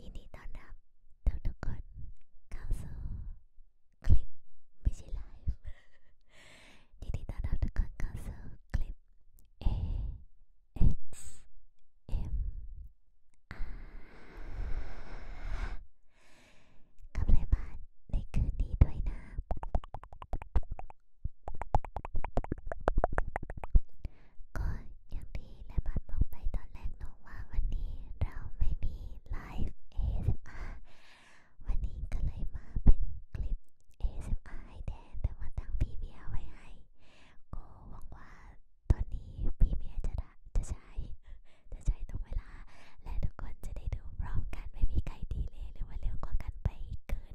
ยินดีต้อนรับทุกทุกคนเข้าสู่คลิปไม่ใช่ไลฟ์ยินดีต้อนรับทุกคนเข้าสู่คลิป A S M R กับรายการในคืนนี้ด้วยนะก็ยังดีและมันบอกไปตอนแรกเนาะว่าวันนี้เราไม่มีไลฟ์ ASMR วันนี้ก็เลยมาเป็นคลิป ASMR ให้แทนแต่ว่าตั้งพี่เมียไว้ให้ ก็หวังว่าตอนนี้พี่เมียจะจะใช้จะใช้ตรงเวลา และทุกคนจะได้ดูพร้อมกันไม่มีใครดีเลยหรือว่าเร็วกว่ากันไปเกิน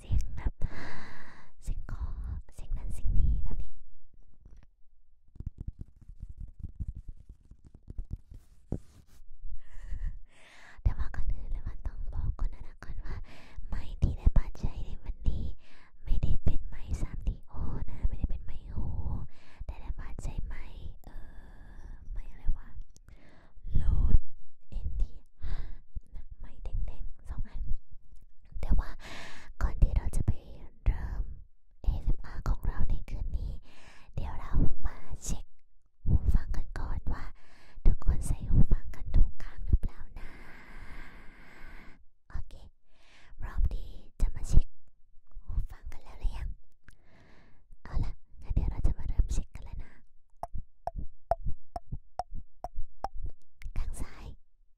เสียงแบบเสียงคอเสียงนั้นเสียงนี้แบบนี้ แต่ว่าก่อนอื่นเลยว่าต้องบอกก่อนนะก่อนว่าไม้ที่ได้บาดใจในวันนี้ ไม่ได้เป็นไม้สามดีโอนะไม่ได้เป็นไม้โอแต่ได้บาดใจไม้เออไม้อะไรวะโลดเอ็นทีไม้แดงๆสองอันแต่ว่า ก่อนที่เราจะไปเริ่ม ASMR ของเราในคืนนี้ เดี๋ยวเรามาเช็คหูฟังกันก่อนว่าทุกคนใส่หูฟังกันถูกข้างหรือเปล่านะโอเค พร้อมที่จะมาเช็คหูฟังกันแล้วหรือยังเอาล่ะงั้นเดี๋ยวเราจะมาเริ่มเช็คกันแล้วนะข้างซ้าย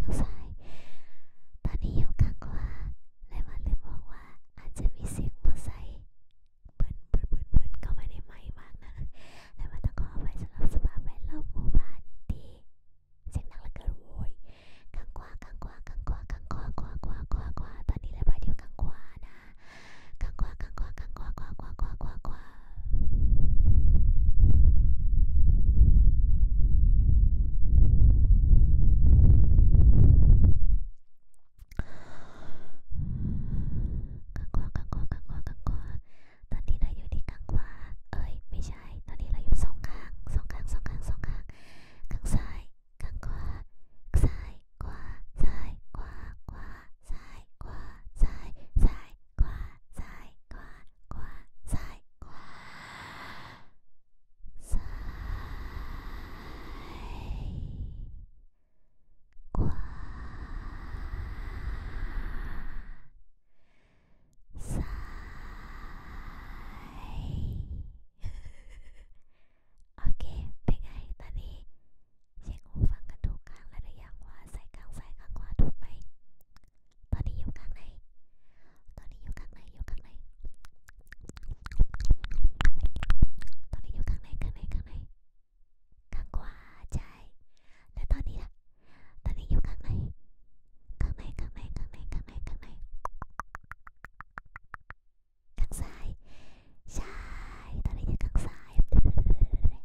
เข้าซ้ายเข้าซ้ายตอนนี้อยู่ข้างขวาและมาลืมบอกว่า อาจจะมีเสียงมอไซค์เบิ้ลเบิ้ลเบิ้ลเบิ้ลเข้ามาในไม้มากนะและมาต้องขอไปสำหรับสภาพแวดล้อมหมู่บ้านที่เสียงดังและกระโวยข้างขวาข้างขวาข้างขวาข้างขวาขวาขวาขวาขวาตอนนี้เลยมาอยู่ข้างขวานะข้างขวาข้างขวาข้างขวาขวาขวาขวาขวาางขวาข้างขวาข้างขวาข้างขวาตอนนี้เราอยู่ที่ข้างขวาเอ้ยไม่ใช่ ตอนนี้เราอยู่สองข้างสองข้างสองข้างสองข้างข้างซ้ายข้างขวาซ้ายขวาซ้ายขวาขวาซ้ายขวาซ้ายซ้ายขวาซ้ายขวาขวาซ้ายขวาซ้ายขวาซ้ายโอเคเป็นไงตอนนี้เช็คหูฟังกันถูกข้างและหรือยังว่าใส่ข้างซ้ายข้างขวาถูกไหมตอนนี้อยู่ข้างในตอนนี้อยู่ข้างในอยู่ข้างในตอนนี้อยู่ข้างในข้างในข้างในข้างขวาใช่และตอนนี้ล่ะตอนนี้อยู่ข้างในข้างในข้างในข้างในข้างในข้างในข้างซ้ายใช่ตอนนี้อยู่ข้างซ้าย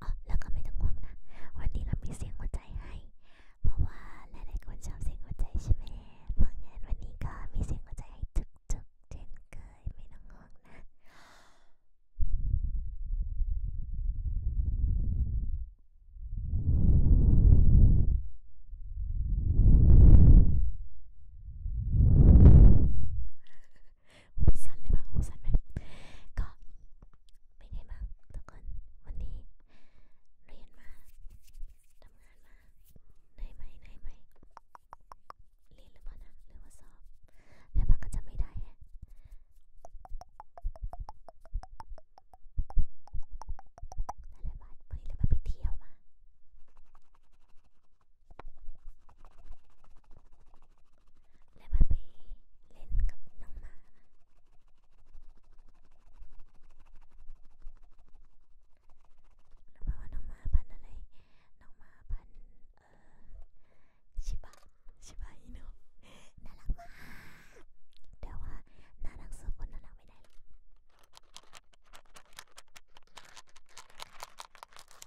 อ๋อแล้วก็ไม่ต้องห่วงนะวันนี้เรามีเสียงหัวใจให้เพราะว่าหลายๆคนชอบเสียงหัวใจใช่ไหมเพราะงั้นวันนี้ก็มีเสียงหัวใจให้จุกๆเช่นเคยไม่ต้องห่วงนะหูสั่นเลยปะหูสั่นไหมก็เป็นไงบ้างทุกคนวันนี้เรียนมาทำงานมาไหนไหมไหนไหมเรียนหรือเปล่านะหรือว่าสอบแต่มันก็จะไม่ได้แฮะแต่ละบาทวันนี้เราไปเที่ยวมาและบาเบเล่นกับน้องหมาแล้วว่าน้องหมาพันอะไรน้องหมาพันเอ่อชิบะ ชิบะอิโนะน่ารักมากแต่ว่าน่ารักสู้คนน่ารักไม่ได้หรอก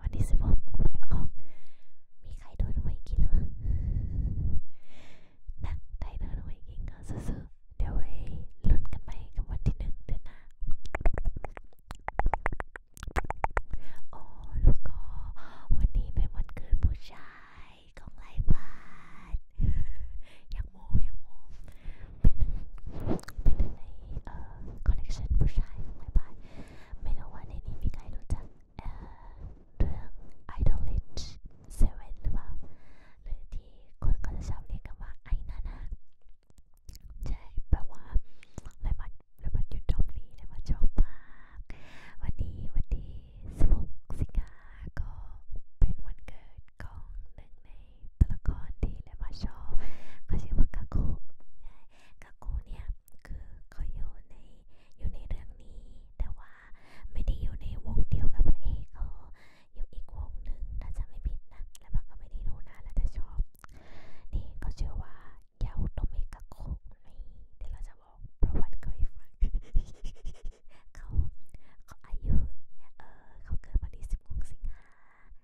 วันที่สิบหกหวยออกมีใครโดนหวยกินหรือเปล่านะใครโดนหวยกินก็ซื้อ เดี๋ยวไว้ลุ้นกันใหม่กับวันที่หนึ่งเดือนหน้าโอ้แล้วก็วันนี้เป็นวันเกิดผู้ชายของไลฟ์บาดอยากโมอยากโมเป็นหนึ่งเป็นหนึ่งในเอ่อคอลเลกชันผู้ชายของไลฟ์บาดไม่รู้ว่าในนี้มีใครรู้จักเอ่อเรื่อง Idolage 7หรือเปล่าหรือที่คนก็จะชอบเรียกกันว่าไอนานาใช่แปลว่าเลยมาเลยมาหยุดตรงนี้เลยมาชอบมากวันนี้วันที่16สิงหาก็เป็นวันเกิดของหนึ่งในตัวละครที่เลยมาชอบเขาชื่อว่ากาโกะกากูเนี่ยคือเขาอยู่ในอยู่ในเรื่องนี้ แต่ว่าไม่ได้อยู่ในวงเดียวกับพระเอกเขาอยู่อีกวงหนึ่งถ้าจะไม่ผิดนะแล้วบักก็ไม่ได้รู้นะแล้วแต่ชอบนี่ก็ชื่อว่าเยาโตเมกาโคนี่เดี๋ยวเราจะบอกประวัติเขาให้ฟังเขาเขาอายุเออเขาเกิดวันที่16สิงหา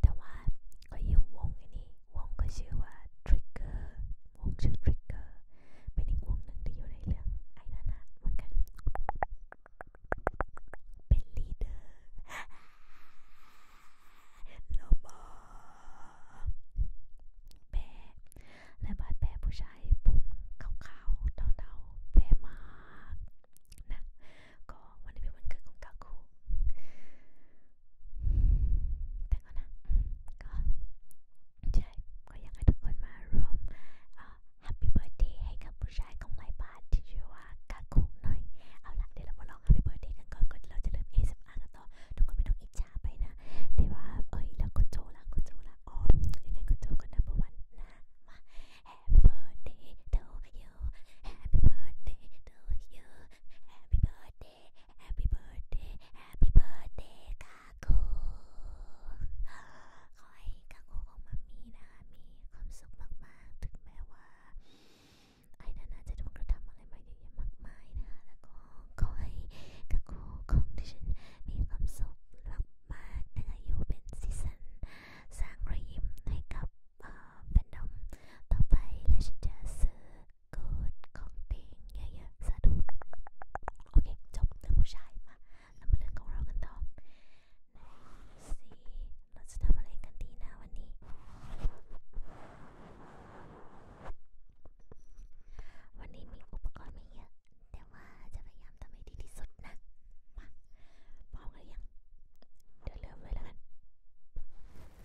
แต่ว่าก็อยู่วงไอ้นี่วงก็ชื่อว่า Trigger วงชื่อ Trigger เป็นอีกวงหนึ่งที่อยู่ในเรื่องไอ้นั่นนะเหมือนกันเป็นลีดเดอร์ลมบอกแพ้และบาดแพ้ผู้ชายผมขาวๆเทาๆแพ้มากนะก็วันนี้เป็นวันเกิดของกาคูแต่ก็นะก็ใช่ก็อยากให้ทุกคนมาร่วมแฮปปี้เบิร์ดเดย์ให้กับผู้ชายของไลบาร์ที่ชื่อว่ากาคุหน่อยเอาละเดี๋ยวเรามาลองแฮปปี้เบิร์ดเดย์กันก่อนก่อนเราจะเริ่ม ASMR กันต่อทุกคนไม่ต้องอิจฉาไปนะเดี๋ยวว่าเอ้ยแล้วก็โจละก็โจละอ๋อยังไงก็โจกันนะประวันนะมา Happy birthday to you Happy birthday to you Happy birthday Happy birthday Happy birthday กากูขอให้กากูของมัมมี่นะคะมีความสุขมากๆถึงแม้ว่าไอ้นานาจะโดนกระทำอะไรมาเยอะแยะมากมายนะคะแล้วก็ขอให้กากูของดิฉันมีความสุขมากๆนะคะอยู่เป็นซีซันสร้างรอยยิ้มให้กับแฟนดอมต่อไป และฉันจะซื้อเกิดของติงเยอะๆสะดุดโอเค จบเรื่องผู้ชายมา เรามาเรื่องของเรากันต่อไหนสิเราจะทำอะไรกันดีนะวันนี้ วันนี้มีอุปกรณ์ไม่เยอะ แต่ว่าจะพยายามทำให้ดีที่สุดนะมาพร้อมหรือยังเดี๋ยวเริ่มเลยแล้วกัน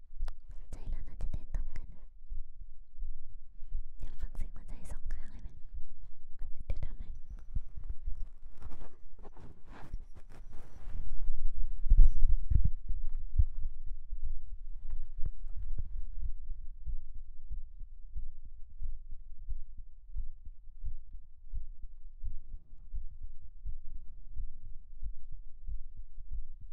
ใจเราน่าจะเต้นตรงกันเดี๋ยวฟังเสียงหัวใจสองข้างเลยไหมเดี๋ยวทำให้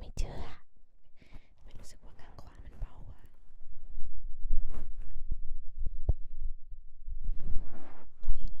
ไม่เจอ ไม่รู้สึกว่าข้างขวามันเบาอ่ะตรงนี้เนี่ย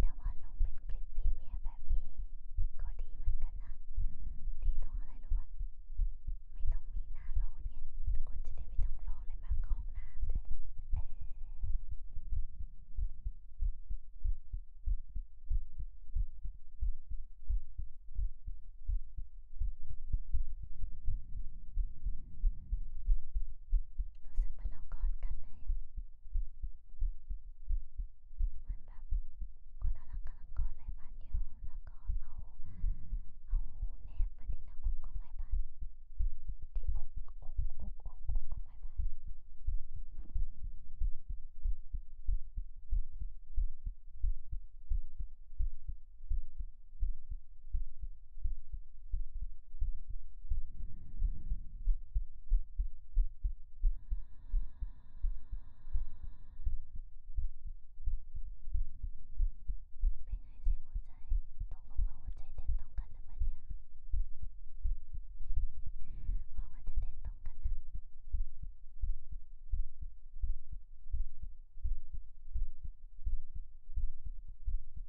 แต่ว่าลงเป็นคลิปพรีเมียร์แบบนี้ ก็ดีเหมือนกันนะดีตรงอะไรรู้ปะไม่ต้องมีหน้าโหลดไงทุกคนจะได้ไม่ต้องรออะไรมากของน้ำด้วยเออรู้สึกเหมือนเรากอดกันเลยอะเหมือนแบบคนน่ารักกำลังกอดไรบ้านเดียวแล้วก็เอาเอาแนบมาที่หน้าอกของไรบ้านที่อก อก อก อกอกของไรบ้านเป็นไงเสียงหัวใจตกลงเราหัวใจเต้นตรงกันหรือเปล่าเนี่ย หวังว่าจะเต้นตรงกันนะ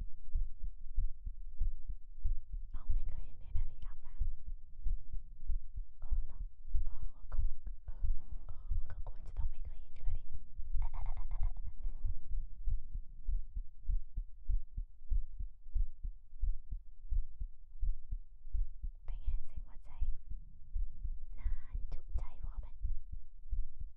เราไม่เคยเห็นเนนาลีอาบน้ำเออเนาะเออก็เออเออมันก็ควรจะต้องไม่เคยเห็นอยู่แล้วดิเป็นไงเสียงหัวใจนานจุใจพอไหม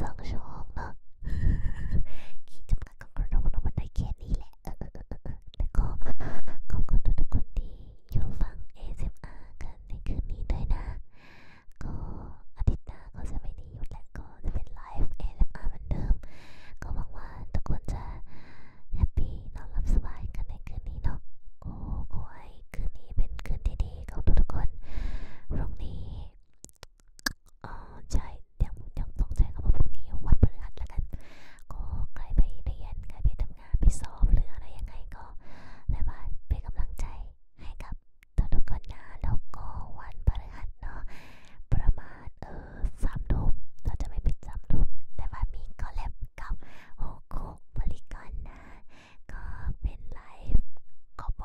สองชั่วโมงเนาะขีดจำกัดของเราเรามันได้แค่นี้แหละแล้วก็ขอบคุณทุกคนที่อยู่ฟัง ASMR กันในคืนนี้ด้วยนะ ก็อาทิตย์หน้าก็จะไม่ได้หยุดและก็จะเป็นไลฟ์ ASMR เหมือนเดิม ก็หวังว่าทุกคนจะแฮปปี้นอนหลับสบายกันในคืนนี้เนาะก็ขอให้คืนนี้เป็นคืนที่ดี ของทุกคนพรุ่งนี้เออใช่ยังยังต้องใช้คำว่าพรุ่งนี้วันพฤหัสละกันก็ใครไปเรียนใครไปทำงานไปสอบหรืออะไรยังไงก็เลยว่าเป็นกำลังใจให้กับตัวทุกคนนะแล้วก็วันพฤหัสเนาะประมาณเออสามทุ่มเราจะไม่ปิดสามทุ่มแต่ว่ามีคอลแลบกับโอโคบริกรนะ ก็เป็นไลฟ์ขอบ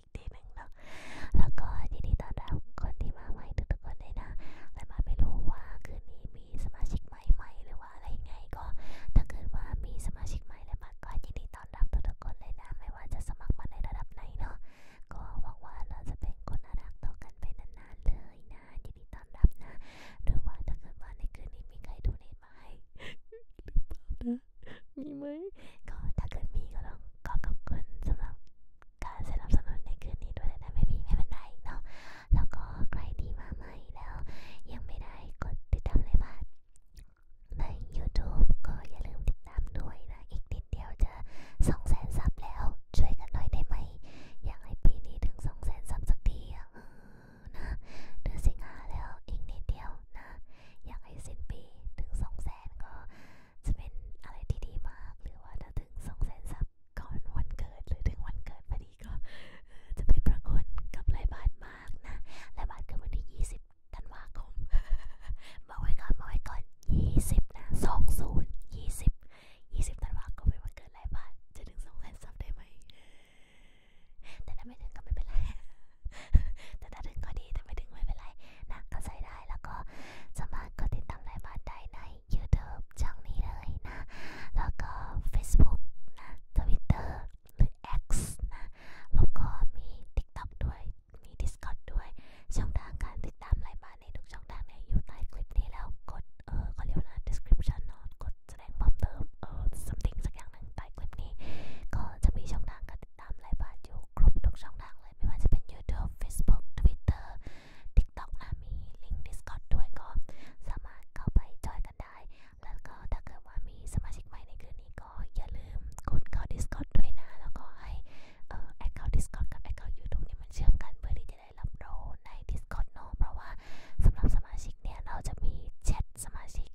อีกทีหนึ่งเนาะแล้วก็ยินดีต้อนรับคนที่มาใหม่ทุกๆคนเลยนะแต่มาไม่รู้ว่าคืนนี้มีสมาชิกใหม่ๆหรือว่าอะไรไงก็ ถ้าเกิดว่ามีสมาชิกใหม่แล้วมาก็ยินดีต้อนรับทุกๆคนเลยนะ ไม่ว่าจะสมัครมาในระดับไหนเนาะก็หวังว่าเราจะเป็นคนน่ารักต่อกันไปนานๆเลยนะ ยินดีต้อนรับนะหรือว่าถ้าเกิดว่าในคืนนี้มีใครดูเนตมาให้หรือเปล่านะมีไหมก็ถ้าเกิดมีก็ต้องขอขอบคุณสำหรับการสนับสนุนในคืนนี้ด้วยแต่ไม่มีไม่เป็นไรเนาะแล้วก็ ใครที่มาใหม่แล้ว ยังไม่ได้ กดติดตามเลยบ้างใน YouTube ก็อย่าลืมติดตามด้วยนะ อีกนิดเดียวจะสองแสนซับแล้วช่วยกันหน่อยได้ไหมอยากให้ปีนี้ถึงสองแสนซับสักทีนะเดือนสิงหาแล้วอีกนิดเดียวนะอยากให้สิ้นปีถึงสองแสนก็จะเป็นอะไรที่ดีมาก หรือว่าถ้าถึงสองแสนซับก่อนวันเกิด หรือถึงวันเกิดพอดีก็จะเป็นประคุณกับรายบาทมากนะรายบาทคือวันที่ยี่สิบธันวาคมมาไว้ก่อนมาไว้ก่อนยี่สิบนะสองศูนย์ยี่สิบยี่สิบธันวาคมเป็นวันเกิดรายบาทจะถึงสองแสนซับได้ไหมแต่ถ้าไม่ถึงก็ไม่เป็นไรแต่ถ้าถึงก็ดีแต่ไม่ถึงไม่เป็นไรนะก็ใช้ได้แล้วก็สามารถกดติดตามรายการได้ใน YouTube ช่องนี้เลยนะ แล้วก็ Facebook นะ Twitter หรือ X นะแล้วก็มี TikTok ด้วยมี Discord ด้วย ช่องทางการติดตามรายการในทุกช่องทางเนี่ยอยู่ใต้คลิปนี้แล้วกด เออเขาเรียกว่า description เนาะกดแสดงเพิ่มเติมเออ something สักอย่างหนึ่งใต้คลิปนี้ ก็จะมีช่องทางการติดตามไลฟ์บาร์อยู่ครบทุกช่องทางเลยไม่ว่าจะเป็น YouTube Facebook Twitter TikTok นะ มีลิงก์ Discord ด้วยก็สามารถเข้าไปจอยกันได้ แล้วก็ถ้าเกิดว่ามีสมาชิกใหม่ในคืนนี้ก็อย่าลืมกดเข้า Discord ด้วยนะ แล้วก็ให้แอคเคาท์ Discord กับแอคเคาท์ YouTube เนี่ยมันเชื่อมกันเพื่อที่จะได้รับโรใน Discord เนาะเพราะว่าสำหรับสมาชิกเนี่ยเราจะมีแชทสมาชิก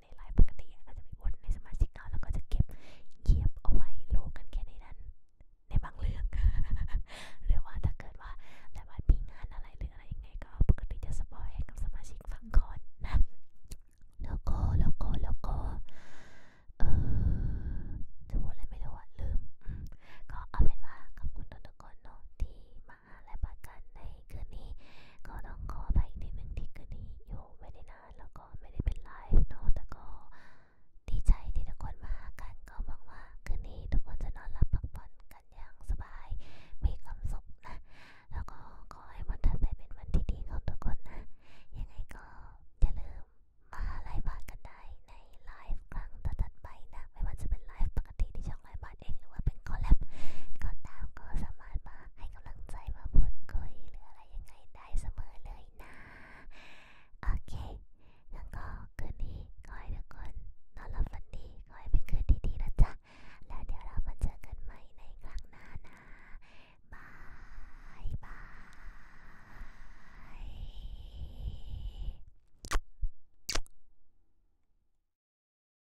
ในไลฟ์ปกติเราจะไปอวดในสมาชิกเราแล้วก็จะเก็บเยียบเอาไว้โลกันแค่ในนั้น ในบางเรื่อง หรือว่าถ้าเกิดว่าหลายวันมีงานอะไรหรืออะไรยังไง ก็ปกติจะสปอยให้กับสมาชิกฟังก่อนนะแล้วก็แล้วก็แล้วก็เออจะพูดอะไรไม่รู้อะลืม ก็เอาเป็นว่าขอบคุณทุกคนเนาะที่มามาและประกันในคืนนี้ก็ต้องขอไปอีกนิดนึงที่คืนนี้อยู่ไม่ได้นานแล้วก็ไม่ได้เป็นไลฟ์เนาะแต่ก็ดีใจที่ทุกคนมากันก็หวังว่า คืนนี้ทุกคนจะนอนหลับพักผ่อนกันอย่างสบายมีความสุขนะแล้วก็ขอให้วันถัดไปเป็นวันที่ดีของทุกคนนะ ยังไงก็อย่าลืมมาไลฟ์มากันได้ในไลฟ์ครั้งถัดไปนะไม่ว่าจะเป็นไลฟ์ปกติที่ชของไอบอดเองหรือว่าเป็นคอลแลบก็ตามก็สามารถมา ให้กำลังใจมาพูดคุยหรืออะไรยังไงได้เสมอเลยนะ โอเคงั้นก็คืนนี้ขอให้ทุกคนนอนหลับฝันดี ขอให้เป็นคืนที่ดีนะจ๊ะ แล้วเดี๋ยวเรามาเจอกันใหม่ในครั้งหน้านะบาย บาย